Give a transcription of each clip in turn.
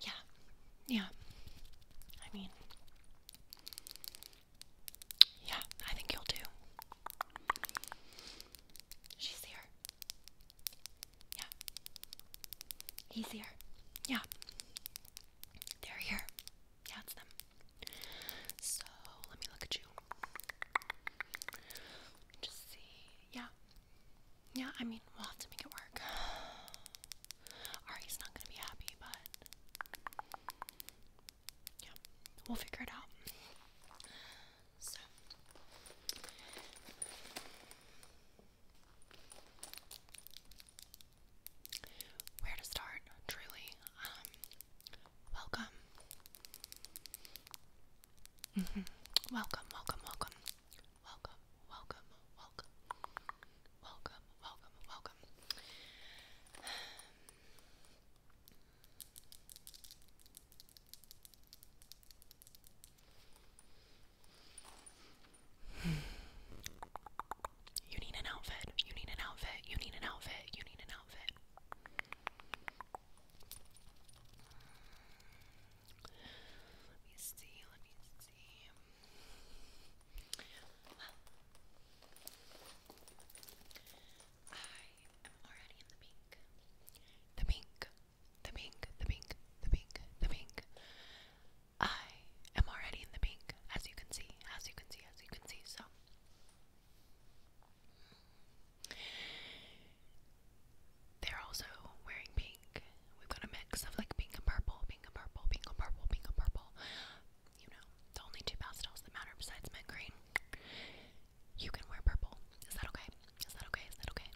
Yeah, yeah. I mean, yeah, I think you'll do. She's here. Yeah. He's here. Yeah. They're here. Yeah, it's them. So let me look at you. Just see. Yeah. Yeah, I mean, we'll have to make it work. Ari's not gonna be happy, but. Yeah, we'll figure it out. So. Where to start, truly. Um, welcome. Mm -hmm. Welcome, welcome, welcome. Welcome, welcome, welcome. Welcome, welcome, welcome. You need an outfit. You need an outfit. You need an outfit. You need an outfit. Let me see, let me see. I am already in the pink. The pink, the pink, the pink, the pink, the pink. I am already in the pink, as you can see, as you can see, as you can see. So they're also wearing pink. We've got a mix of like pink and purple, pink and purple, pink and purple, pink and purple. You know, the only two pastels that matter besides mint green. You can wear purple. Is that okay? Is that okay? Is that okay?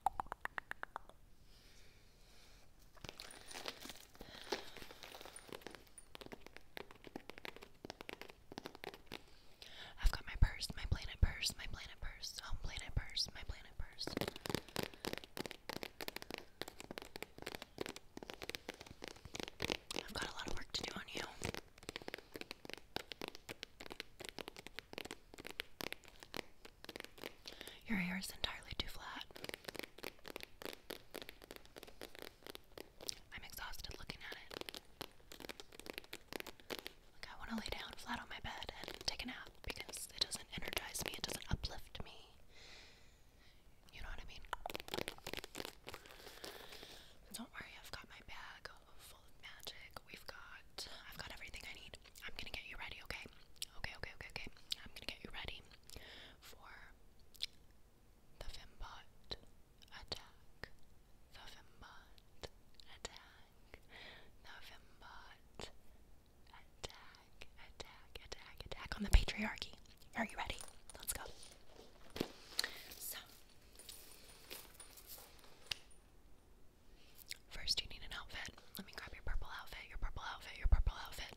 I've got my purse, my planet purse, my planet purse, home planet purse, my planet purse. I've got a lot of work to do on you. Your hair is entirely too flat. I'm exhausted looking at it. Like, I want to lay down flat on my bed and take a nap because it doesn't energize me, it doesn't uplift me. You know what I mean? don't worry, I've got my bag full of magic. We've got, I've got everything I need. I'm gonna get you ready, okay? Okay, okay, okay, okay. I'm gonna get you ready for the Fimbot attack. The Fimbot attack attack, attack, attack, attack, attack on the patriarchy. Are you ready? Let's go. So, first you need an outfit. Let me grab your purple outfit, your purple outfit, your purple outfit.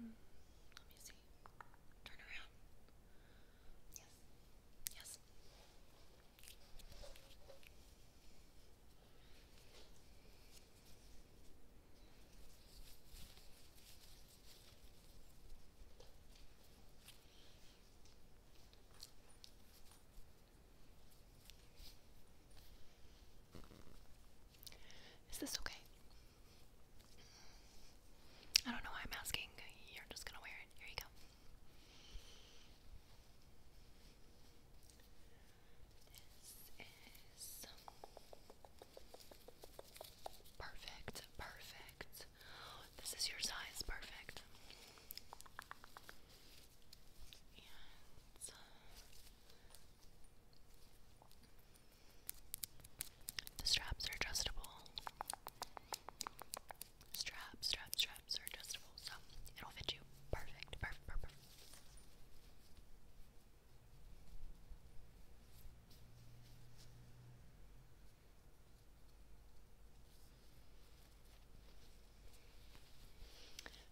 Mm, let me see. Turn around. Yes. Yes. Is this okay? I don't know why I'm asking. You're just gonna wear it. Here you go. This is perfect, perfect. This is your size, perfect. And the straps are adjustable. Straps, straps, straps are adjustable, so it'll fit you perfect, perfect, perfect.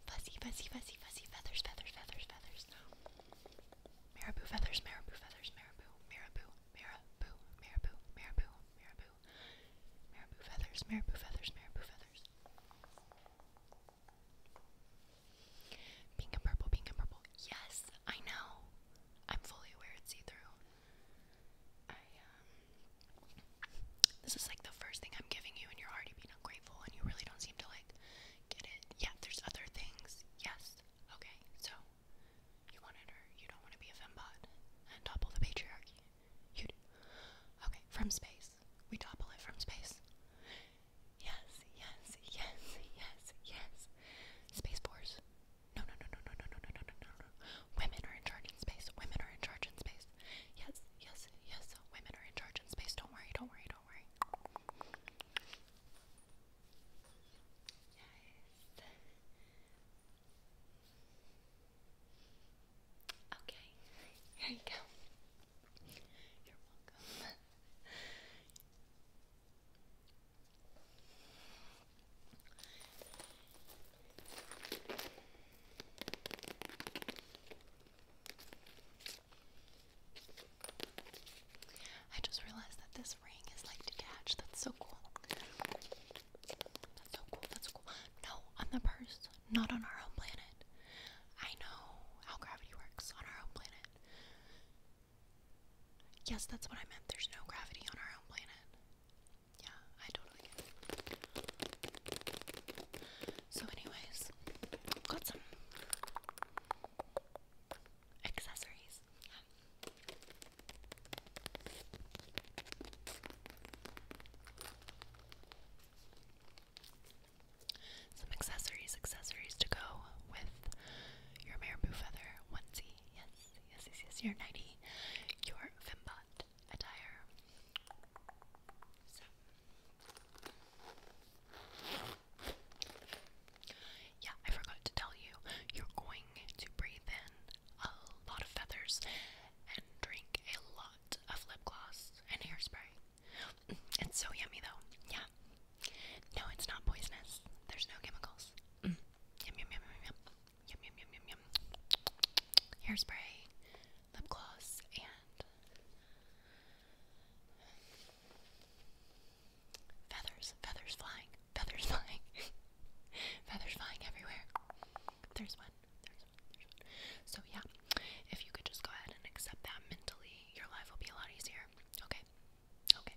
Fuzzy, fuzzy, fuzzy, fuzzy feathers, feathers, feathers, feathers. No. Marabou feathers, marabou feathers, marabou, marabou, marabou, marabou, marabou, marabou, marabou feathers, marabou feathers, marabou feathers. Pink and purple, pink and purple. Yes, I know. I'm fully aware it's see-through. Um, this is like the first thing I'm giving you and you're already being ungrateful and you really don't seem to like get it. Yeah, there's other things. Yes. Okay, so you wanted her, you don't want to be a fembot and topple the patriarchy. You Okay, from space. We topple it from space. Yes, yes, yes, yes, yes. Space Force. no, no, no, no, no, no, no, no, no, no. Women are in charge in space. Women are in charge in space. Yes, yes, yes. Women are in charge in space. Don't worry, don't worry, don't worry. Yes. Okay. Here you go. You're welcome. I just realized that this ring is like detached. That's so cool. That's so cool. That's cool. No, on the purse, not on our own planet. I know how gravity works on our own planet. Yes, that's what I meant. There's no gravity on our own planet. Yeah, I totally get it. So, anyways, got some accessories. Some accessories, accessories to go with your marabou feather onesie. Yes, yes, yes, yes. Your nightie, your Fimbot attire. Yeah, I forgot to tell you, you're going to breathe in a lot of feathers and drink a lot of lip gloss and hairspray. It's so yummy though. Yeah. No, it's not poisonous. There's no chemicals. Mm. Yum, yum, yum, yum, yum. Yum, yum, yum, yum, yum. Hairspray, lip gloss, and Feathers, feathers flying, feathers flying, feathers flying everywhere. There's one, there's one, there's one. So, yeah, if you could just go ahead and accept that mentally, your life will be a lot easier. Okay, okay.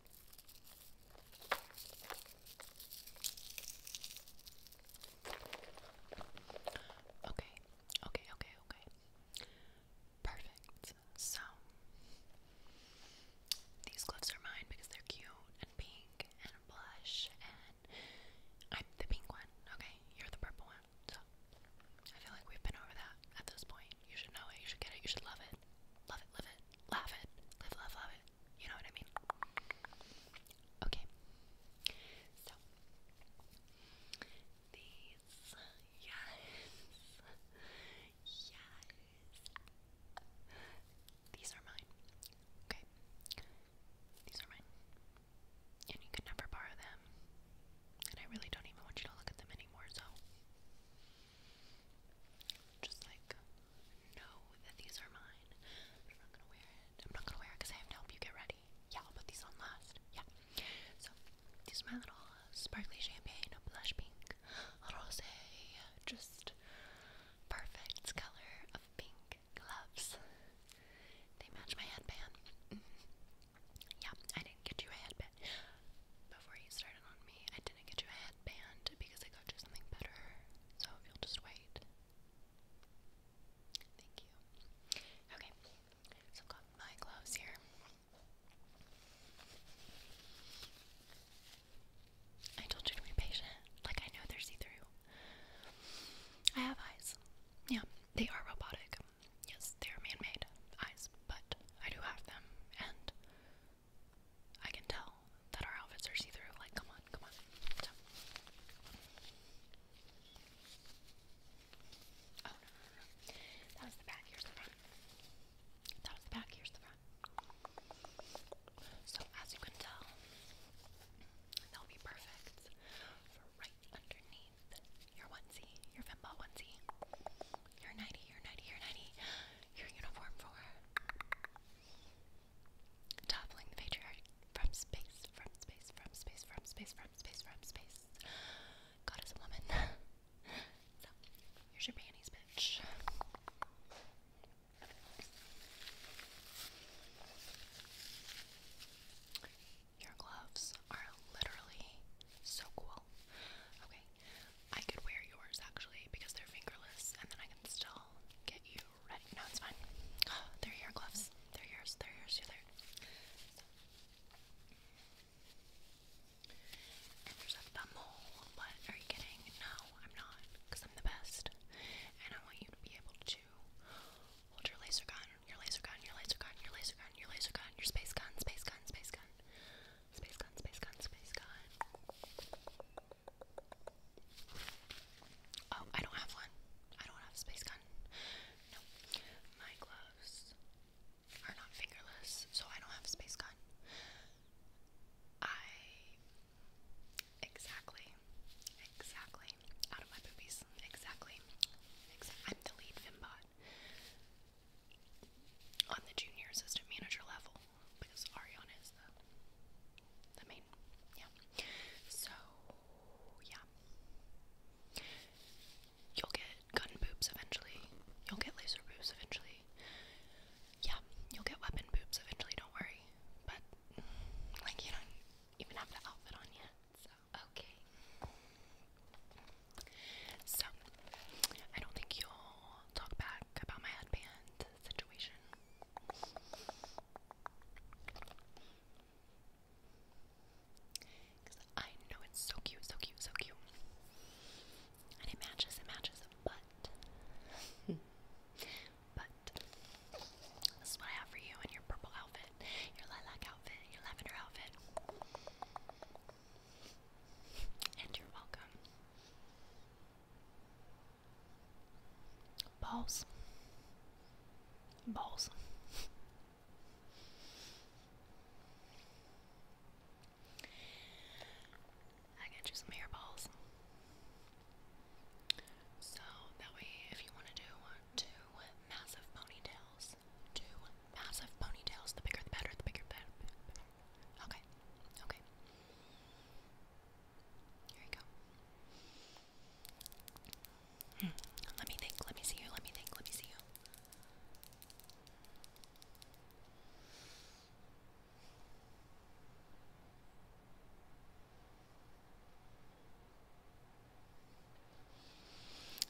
Okay, okay, okay, okay. Perfect. So, these gloves are mine because they're cute and pink and blush, and I'm the pink one, okay? You're the purple one. So, I feel like we've been over that at this point. You should know it, you should get it, you should love it. Love it, live it, laugh it, live, love, love it. You know what I mean? Okay. So these yes. Yes. These are mine. Okay. These are mine. And you can never borrow them. And I really don't even want you to look at them anymore, so just like know that these are mine, I'm not gonna wear it. I'm not gonna wear it because I have to help you get ready. Yeah, I'll put these on last. Yeah. So these are my little sparkly champagne, blush pink, rosé, just perfect color of pink gloves. They match my headband. Mm-hmm. Yeah, I didn't get you a headband. Before you started on me, I didn't get you a headband because I got you something better. So you'll just wait. Thank you. Okay, so i got my gloves here. I told you to be patient. Like, I know they're see through. I have eyes. Yeah, they are robotic. Yes, they're man made eyes, but I do have them, and I can tell that our outfits are see through. Like, come on, come on. Oh, no, no, no. That was the back, here's the front. That was the back, here's the front. So, as you can tell, they'll be perfect for right underneath your onesie, your fembo onesie, your 90, your 90, your 90, your uniform for Toppling the patriarch from space, from space, from space, from space, from space, from space. God is a woman. so, here's your panties, bitch. Your gloves are literally so cool. Okay, I could wear yours actually because they're fingerless, and then I can still get you you No, it's fine. they're your gloves. They're yours. They're yours. they are there. And there's a thumbhole. What? Are you kidding? No, I'm not. Because I'm the best. And I want you to be able to hold your laser gun, your laser gun, your laser gun, your laser gun, your laser gun, your space gun, space gun, space gun. Space gun, space gun, space gun. Space gun. Oh, I don't have one. I don't have a space gun. No. My gloves are not fingerless, so I don't have a space gun. I exactly, exactly out of my boobies. Exactly. I'm the lead Fimbot on the junior assistant manager level because Ariana is the main. Yeah. So yeah. You'll get gun boobs eventually. You'll get laser boobs eventually. Yeah, you'll get weapon boobs eventually, don't worry. But like you don't even have the outfit on yet. So okay. So I don't think you'll talk back about my headband situation. Because I know it's so cute, so cute, so cute. And it matches, it matches, but. but. This is what I have for you in your purple outfit, your lilac outfit, your lavender outfit. And you're welcome. Balls. Balls. I got you some hairballs. So that way, if you want to do two massive ponytails, two massive ponytails, the bigger the better, the bigger the better. Okay, okay. Here you go. Hmm. Let me think, let me see you, let me think, let me see you.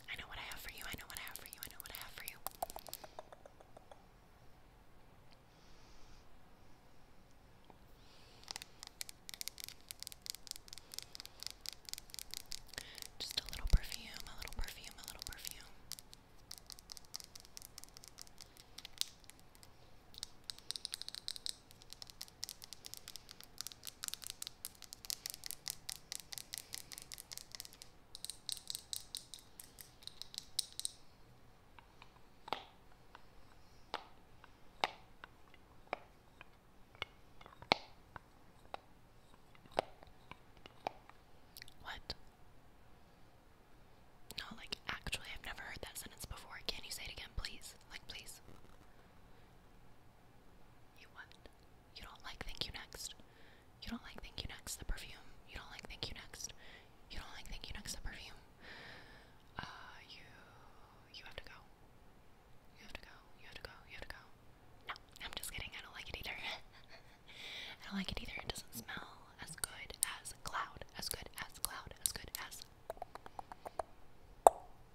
I know what I have for you, I know what I have for you, I know what I have for you. Just a little perfume, a little perfume, a little perfume. What? No, like, actually, I've never heard that sentence before. Can you say it again, please? Like, please. You what? You don't like Thank You Next. You don't like Thank You Next, the perfume. You don't like Thank You Next. You don't like Thank You Next, the perfume. Uh, you, you have to go. You have to go. You have to go. You have to go. No, I'm just kidding. I don't like it either. I don't like it either. It doesn't smell as good as cloud. As good as cloud. As good as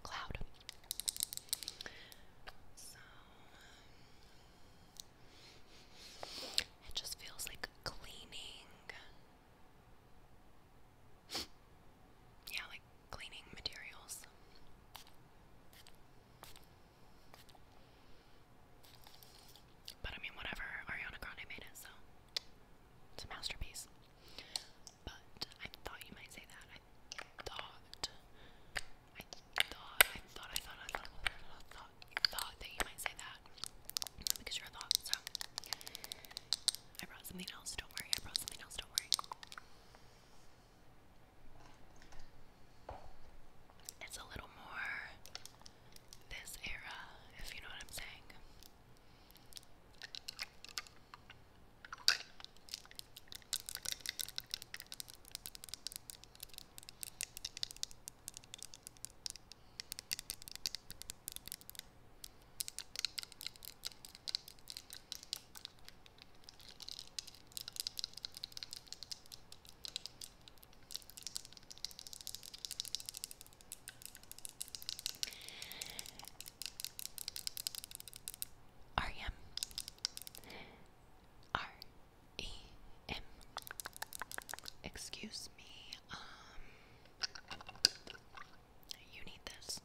cloud. Um, it just feels like cleaning yeah, like cleaning materials. But I mean, whatever, Ariana Grande made it, so it's a masterpiece. But I thought you might say that. I thought, I thought, I thought, I thought, I thought, I thought, thought that you might say that because you're a thought. So I brought something else, don't worry. I brought something else, don't worry. It's a little more this era, if you know what I'm saying. R-E-M R-E-M Excuse me, um, you need this.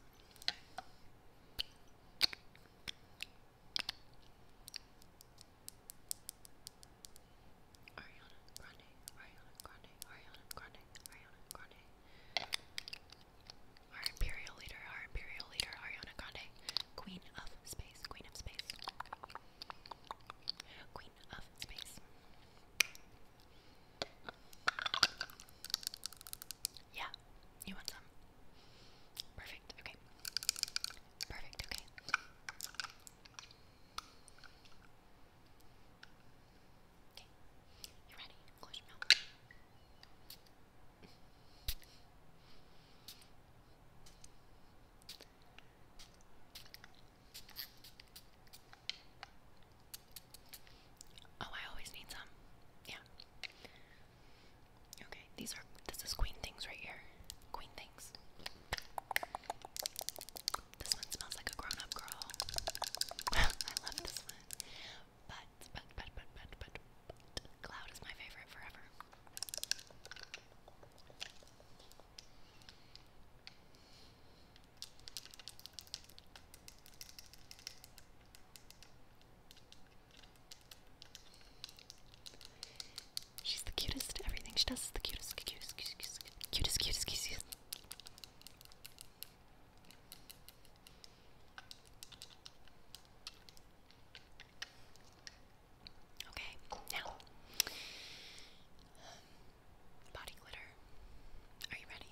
Ariana Grande, Ariana Grande, Ariana Grande, Ariana Grande. Our imperial leader, our imperial leader, Ariana Grande, queen of space, queen of space, queen of space. Yeah, you want some? Perfect, okay. Perfect, okay. Okay, you ready? Close your mouth. Oh, I always need some. Yeah. Okay, these are this is Queen Things right here. Queen Things. This one smells like a grown-up girl. I love this one. But but but but but but Cloud is my favorite forever. She's the cutest. Everything she does is the cutest, cutest, cutest, cutest, cutest, cutest, cutest. Okay, now body glitter. Are you ready?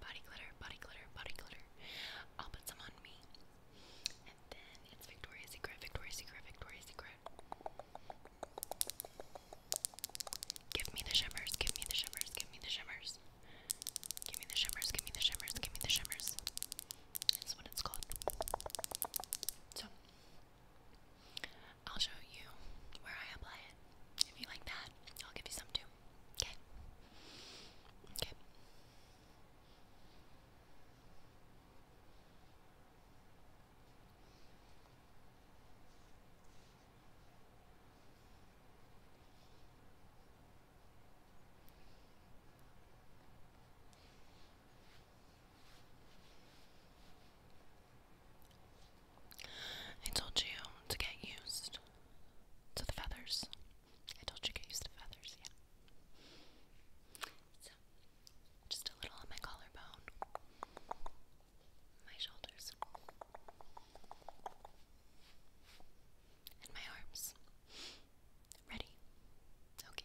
Body glitter, body glitter, body glitter. I'll put some on me. And then it's Victoria's Secret, Victoria's Secret, Victoria's Secret. Give me the shimmers, give me the shimmers, give me the shimmers. Give me the shimmers, give me the shimmers, give me the shimmers. That's what it's called. So, I'll show you where I apply it. If you like that, I'll give you some too. Okay. I told you to get used. So the feathers. I told you get used to feathers, yeah. So, just a little on my collarbone, my shoulders, and my arms. Ready? Okay.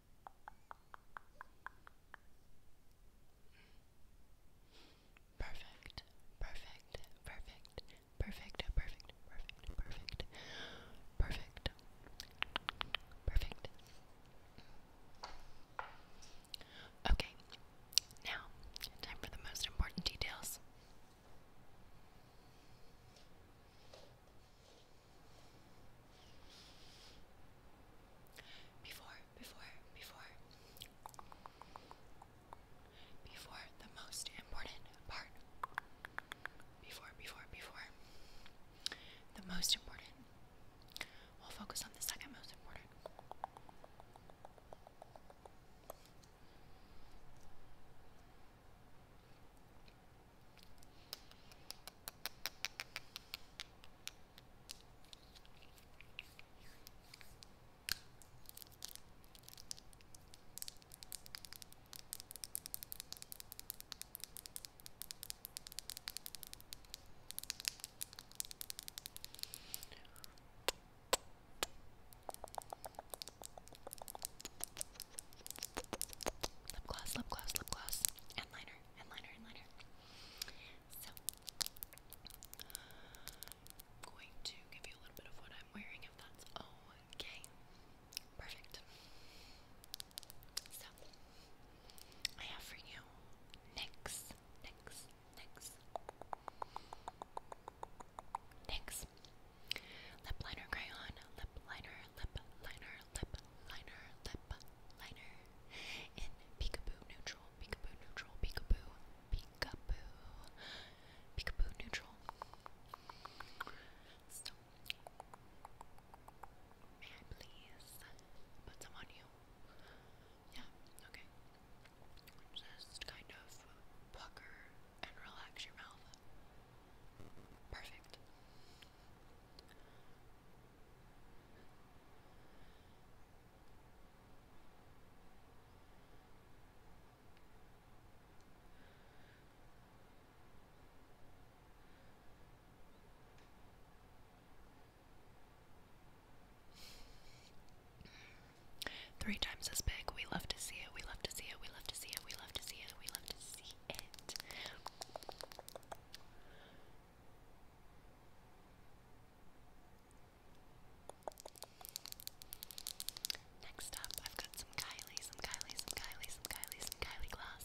Perfect, perfect, perfect, perfect, perfect, perfect, perfect, perfect, perfect. Okay, now time for the most important details. Before, before, before. Before the most important part. Before, before, before. The most important. We'll focus on the second most important. Lip gloss, lip gloss, lip gloss, and liner, and so, going to give you a little bit of what I'm wearing if that's okay. Perfect. So, I have for you NYX, NYX, NYX, NYX. Lip liner crayon, lip liner, lip liner, lip liner, lip liner in Peekaboo Neutral, Peekaboo Neutral, Peekaboo, Peekaboo, Peekaboo Neutral. may I please put some on you? Yeah, okay. Just kind of pucker and relax your mouth. Perfect. Three times as big. We love to see it. We love to see it. We love to see it. We love to see it. We love to see it. Next up, I've got some Kylie, some Kylie, some Kylie, some Kylie, some Kylie glass.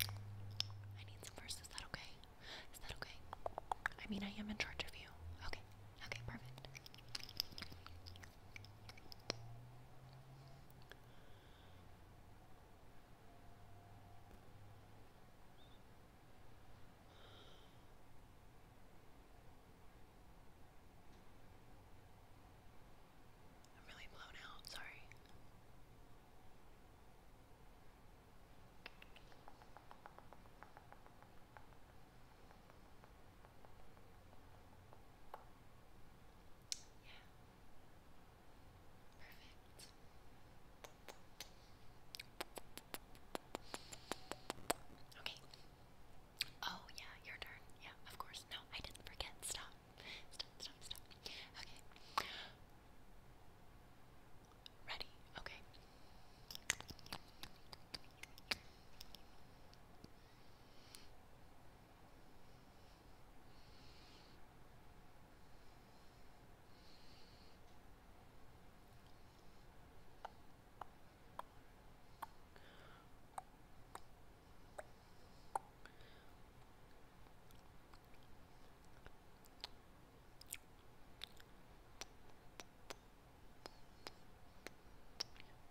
I need some first. Is that okay? Is that okay? I mean, I am in charge of you. Okay. Okay, perfect. I'm really blown out, sorry. Perfect. Okay. Oh, yeah, your turn. Yeah, of course. No, I didn't forget. Stop. Stop, stop, stop. Okay. Ready? Okay.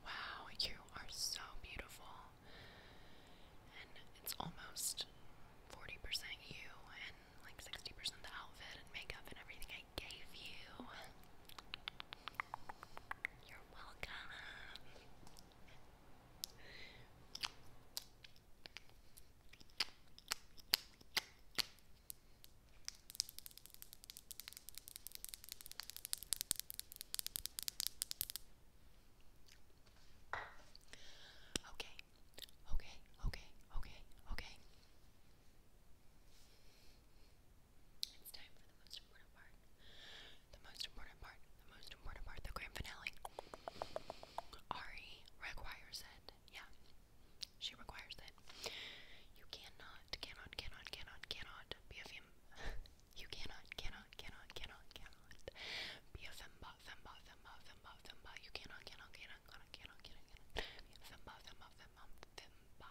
Wow, you are so beautiful. And it's almost 40% you and like 60% the outfit and makeup and everything I gave you. You're welcome. Okay, okay, okay, okay, okay. It's time for the most important part. The most important part, the most important part, the grand finale. Ari Require said, yeah. She requires that. You cannot, cannot, cannot, cannot, cannot be a fem. you cannot, cannot, cannot, cannot, cannot be a femba, femba, femba, femba, femba. You cannot, cannot, cannot, cannot, cannot, cannot, be a femba, femba, femba, femba.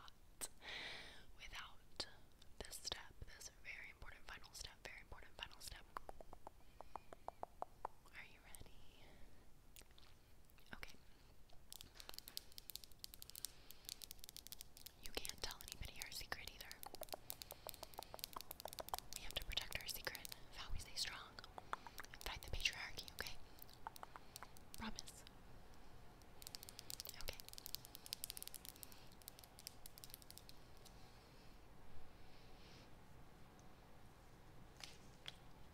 Without this step, this very important final step, very important final step. Are you ready? Okay. You can't tell anybody our secret either. We have to protect our secret of how we stay strong and fight the patriarchy, okay? Promise. Okay.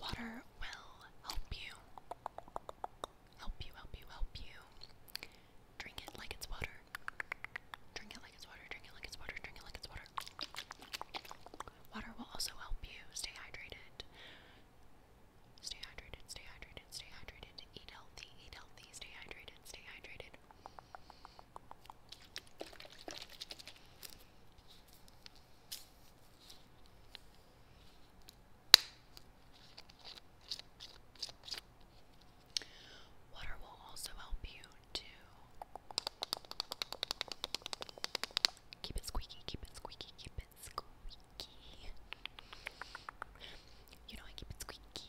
Water will help you. Help you, help you, help you. Drink it like it's water. Drink it like it's water, drink it like it's water, drink it like it's water. Water will also help you stay hydrated. Stay hydrated, stay hydrated, stay hydrated. Eat healthy, eat healthy, stay hydrated, stay hydrated. Water will also help you to keep it squeaky, keep it squeaky, keep it squeaky. You know, keep it squeaky.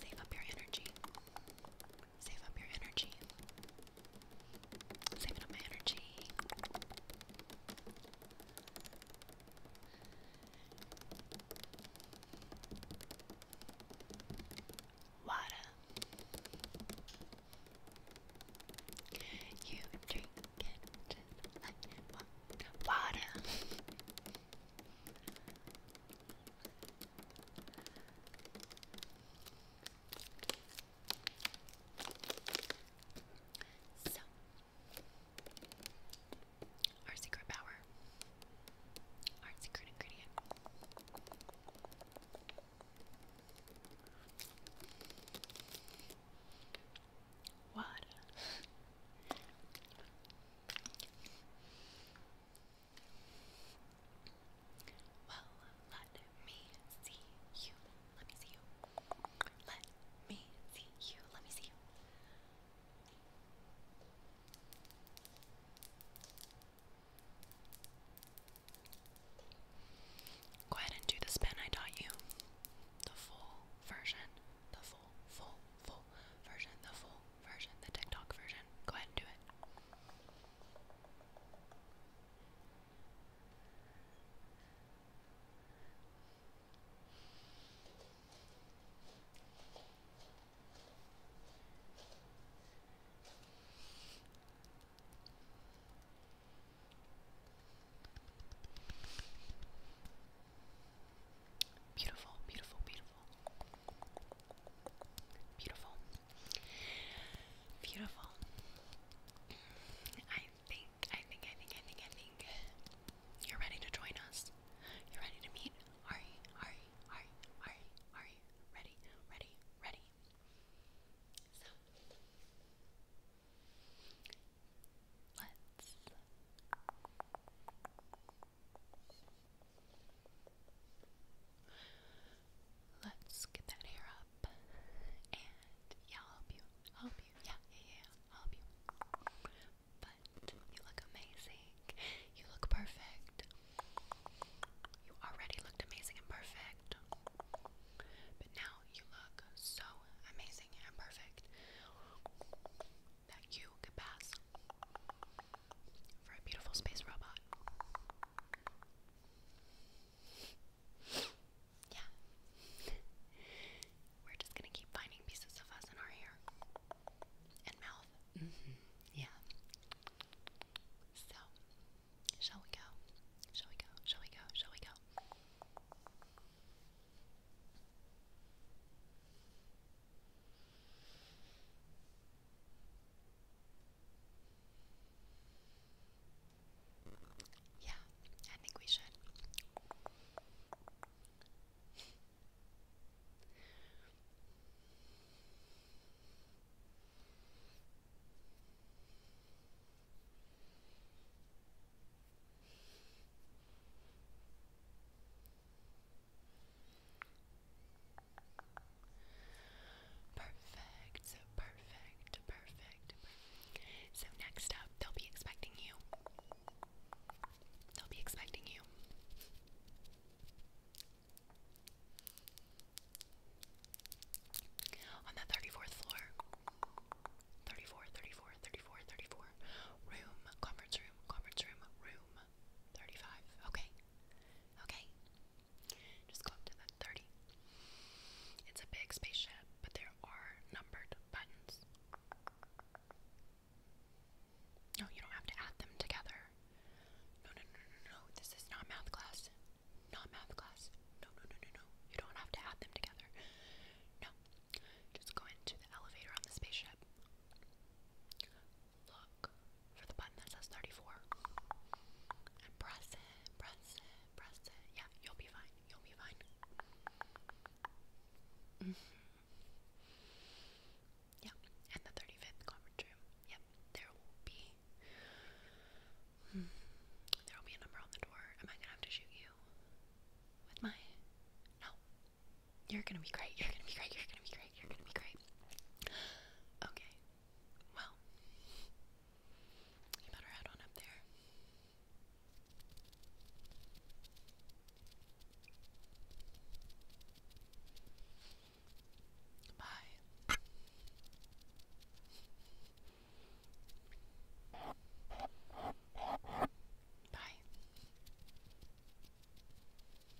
Save up your energy. Save up your energy. Saving up my energy. Water. You drink it like water our secret power, our secret ingredient. What? Well, let me see you. Let me see you. Let me see you. Let me see you. Go ahead and do the spin I taught you. The full version. The full, full, full version. The full version, the TikTok version. Go ahead and do it. Beautiful, beautiful, beautiful. Beautiful. Beautiful. I think, I think, I think, I think, I think you're ready to join us. You're ready to meet Ari, Ari, Ari, Ari, Ari. Ready, ready, ready. So, let's Let's get that hair up. And yeah, I'll help you. help you. Yeah, yeah, yeah. help you. But you look amazing. You look perfect. You already looked amazing and perfect. But now you look so amazing and perfect that you could pass for a beautiful space robot. yeah. We're just gonna keep finding pieces of us in our hair and mouth. Mm-hmm. Yeah. So, shall we go? Shall we go? Shall we go? Shall we go? Yeah, I think we should. Perfect, so perfect, perfect. So next up, they'll be expecting you. They'll be expecting you. On the 34th floor. 34, 34, 34, 34. Room, conference room, conference room, room. 35. Okay. Okay. Just go up to that 30. It's a big spaceship, but there are numbered buttons. No, you don't have to add them together. No, no, no, no, no. This is not math class. Not math class. No, no, no, no, no. You don't have to add them together. No. Just go into the elevator on the spaceship look for the button that says 34 and press it, press it, press it. Yeah, you'll be fine. You'll be fine. Mm-hmm. Yeah, and the 35th conference room. Yep, there will be. Hmm, there will be a number on the door. Am I gonna have to shoot you with my? No. You're gonna be great. You're gonna be great. You're gonna be great great. You're gonna be great. Okay. Well, you better head on up there. Bye. Bye.